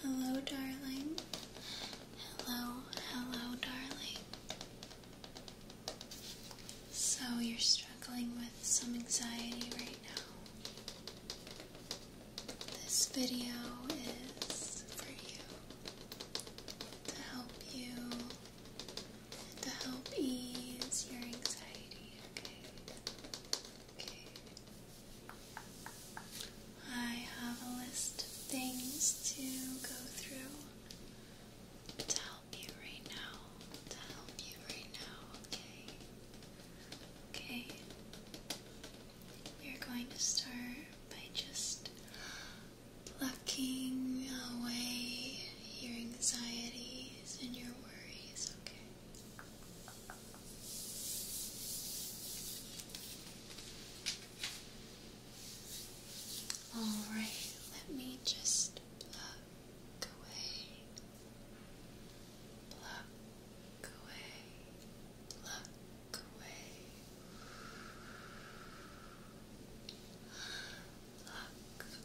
Hello, darling. Hello, hello, darling. So, you're struggling with some anxiety right now. This video is for you to help you, to help ease your anxiety, okay? Okay. I have a list of things to go through to help you right now. To help you right now, okay? Okay. We're going to start by just plucking away your anxieties and your worries, okay? All right, let me just pluck away, pluck away, pluck away, pluck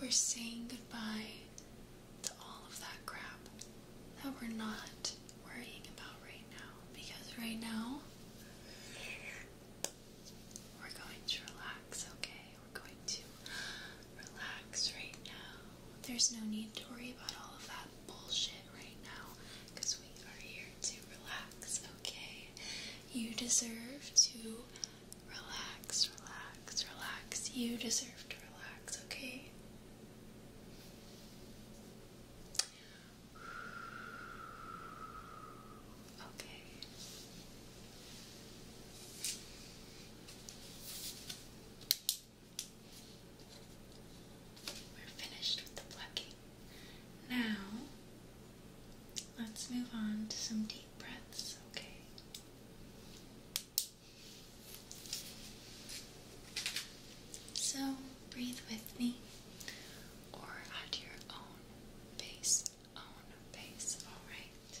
We're saying goodbye to all of that crap that we're not worrying about right now because right now we're going to relax, okay? We're going to relax right now. There's no need to worry about all of that bullshit right now because we are here to relax, okay? You deserve to relax, relax, relax. You deserve to relax, okay? Okay. We're finished with the plucking. Now, let's move on to some deep breaths, okay? So, breathe with me or at your own pace, own pace, alright?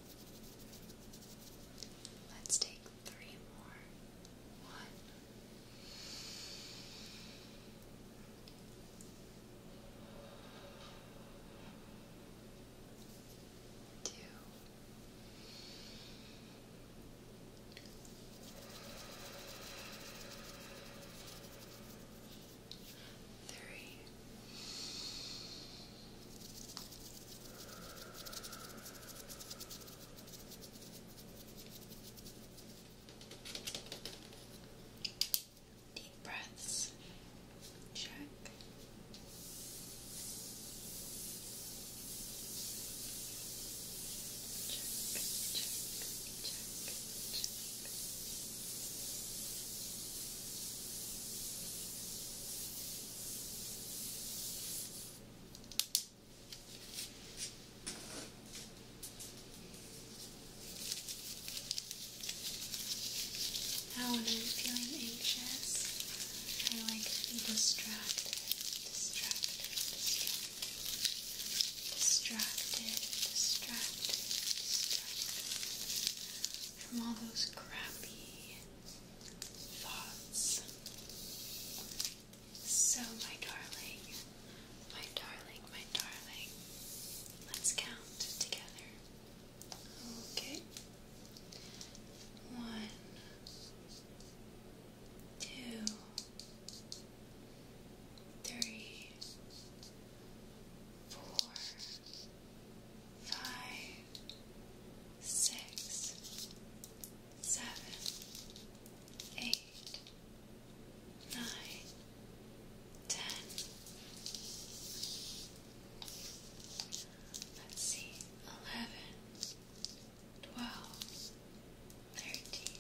Let's take three more. One. Deep breaths. Check. Check, check, check, check. Deep now, when I'm feeling anxious, I like to be distracted, distracted, distracted, distracted, distracted, distracted from all those crappy so, my darling, my darling, my darling, let's count together. Okay. One, two, five, six, seven, eight, nine, ten. Let's see, eleven, twelve, thirteen,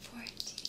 fourteen.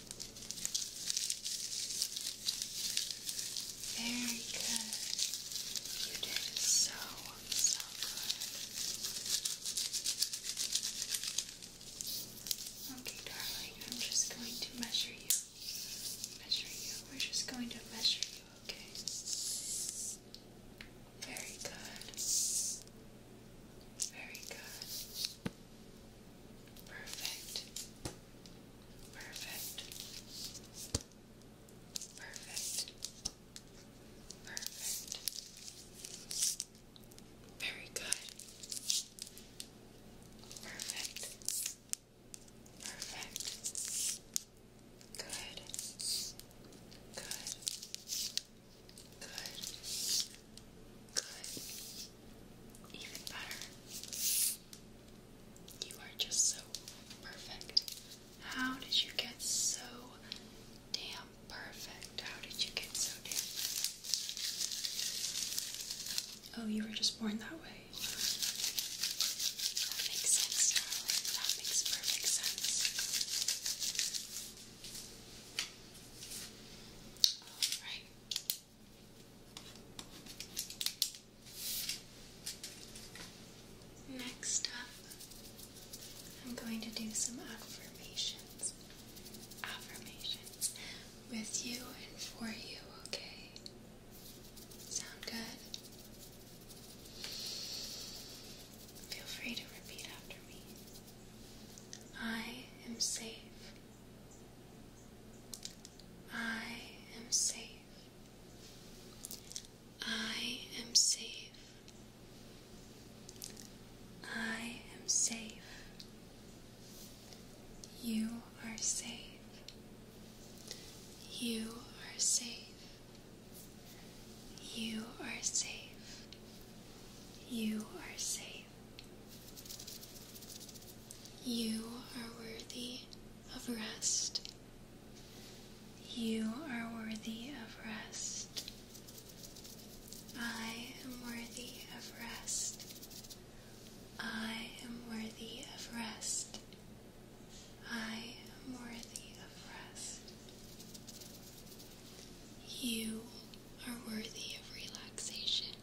Very good. You did so, so good. Okay, darling, I'm just going to measure you. Measure you. We're just going to measure you, okay? Very good. Very good. Perfect. Perfect. Perfect. Perfect. Very good. Perfect. Perfect. Good. Good. Good. Good even better. You are just so perfect. How did you get so damn perfect? How did you get so damn Oh, you were just born that way. That makes sense, That makes perfect sense. Alright. Next up, I'm going to do some affirmations. Affirmations with you and for you, okay? Sound good? Feel free to repeat after me. I am safe. I am safe. I am safe. I am safe. You are safe. You are safe. You are safe. You are safe. You are worthy of rest. You are worthy of rest. I am worthy of rest. I am worthy of rest. I am worthy of rest. You are worthy of relaxation.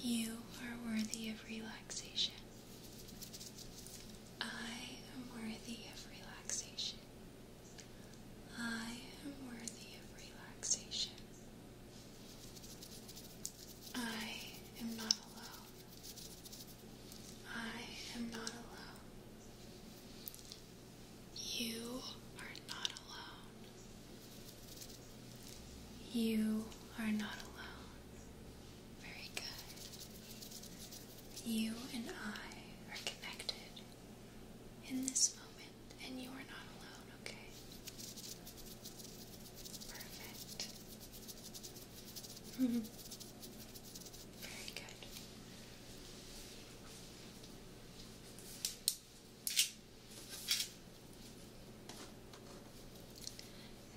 You are worthy of relaxation. I am worthy of relaxation. I am worthy of relaxation. I am not alone. I am not alone. You are not alone. You are not alone. Very good. You and I are connected in this moment, and you are not alone, okay? Perfect. Very good.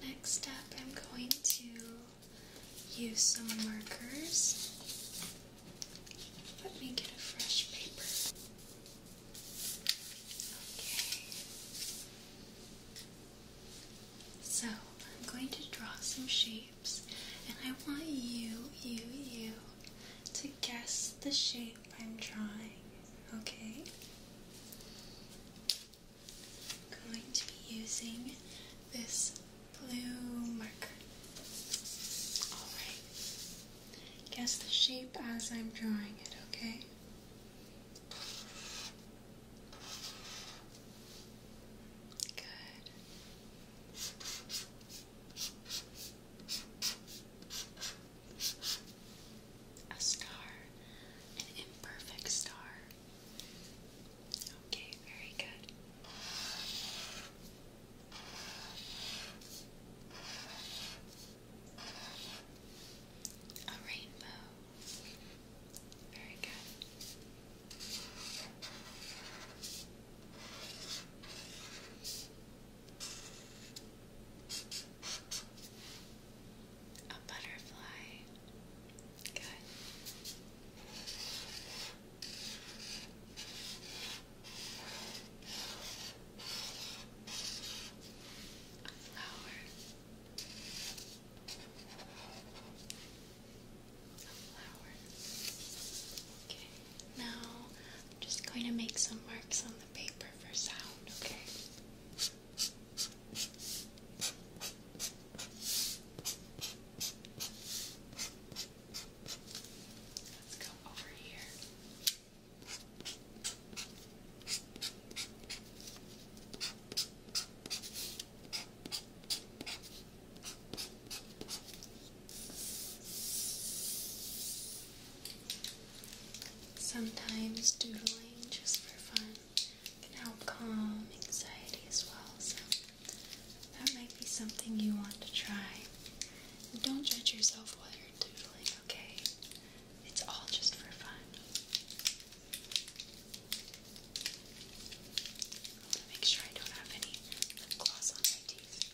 Next up, I'm going to use some markers. Let me get a fresh paper. Okay. So, I'm going to draw some shapes, and I want you, you, you to guess the shape I'm drawing, okay? I'm going to be using this blue marker. Alright. Guess the shape as I'm drawing it, okay? Good. A star, an imperfect star. Okay, very good. A rainbow. Very good. A butterfly. Good. A flower now I'm just going to make some marks on the paper for sound, okay? Let's go over here. Sometimes doodling just for fun can help calm anxiety as well, so that might be something you want to try. don't judge yourself while you're doodling, okay? It's all just for fun. Make sure I don't have any lip on my teeth.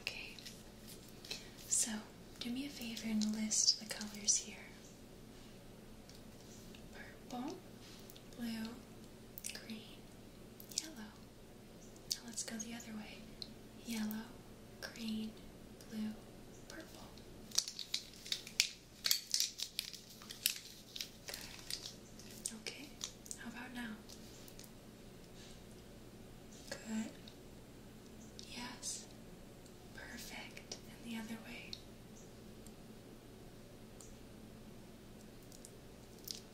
Okay. So, do me a favor and list the colors here purple, blue, green, yellow. Now let's go the other way yellow, green, blue, purple. Good. Okay. How about now? Good. Yes. Perfect. And the other way.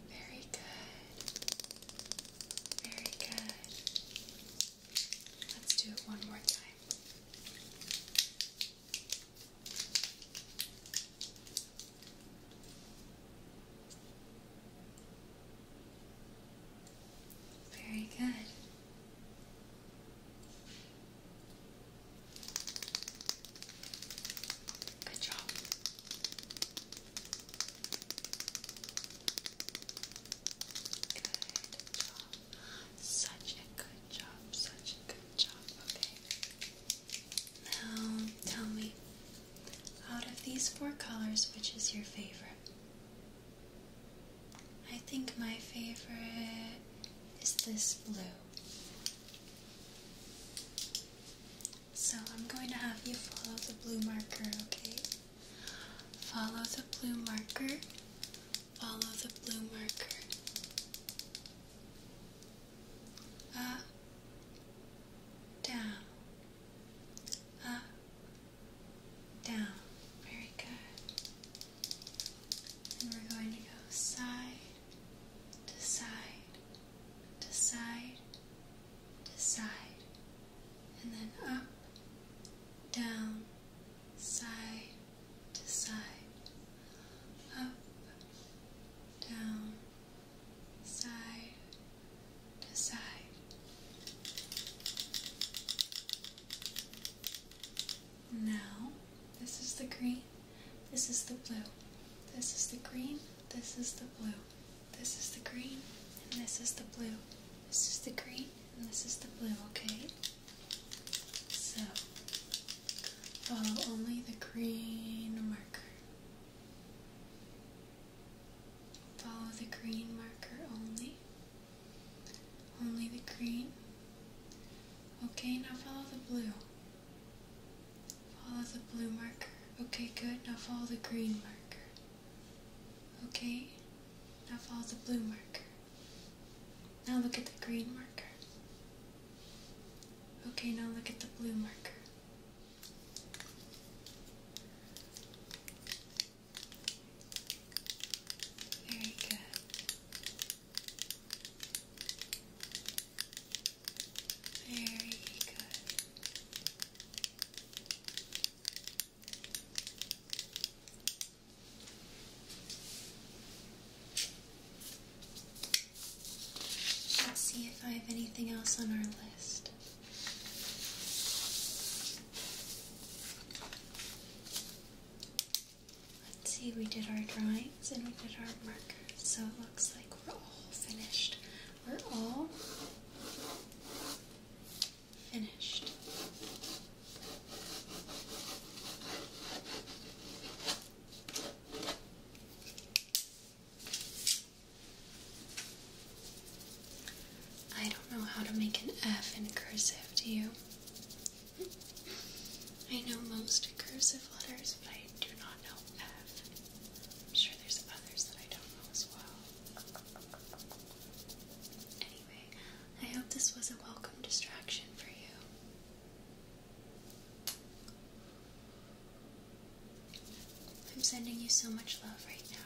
Very good. Very good. Let's do it one more time. Very good. Good job. Good job. Such a good job, such a good job, okay? Now, tell me, out of these four colors, which is your favorite? I think my favorite is this blue. So I'm going to have you follow the blue marker, okay? Follow the blue marker Follow the blue marker. Up, down, up, down. Very good. And we're going to go side to side to side to side. And then up, down, side to side, up, down, side to side. Now, this is the green, this is the blue, this is the green, this is the blue, this is the green, this is the blue, this is the green, and this is the blue, okay? So follow uh, only the green marker. Follow the green marker only. Only the green. Okay, now follow the blue. Follow the blue marker. Okay, good. Now follow the green marker. Okay, now follow the blue marker. Now look at the green marker. Okay, now look at the blue marker. Very good. Very good. Let's see if I have anything else on our list. Let's see, we did our drawings and we did our markers, so it looks like we're all finished. We're all finished. I don't know how to make an F in cursive, do you? I know most cursive letters, but I do not know F. I'm sure there's others that I don't know as well. Anyway. I hope this was a welcome distraction for you. I'm sending you so much love right now.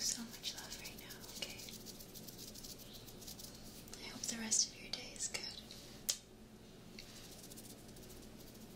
So much love right now, okay? I hope the rest of your day is good.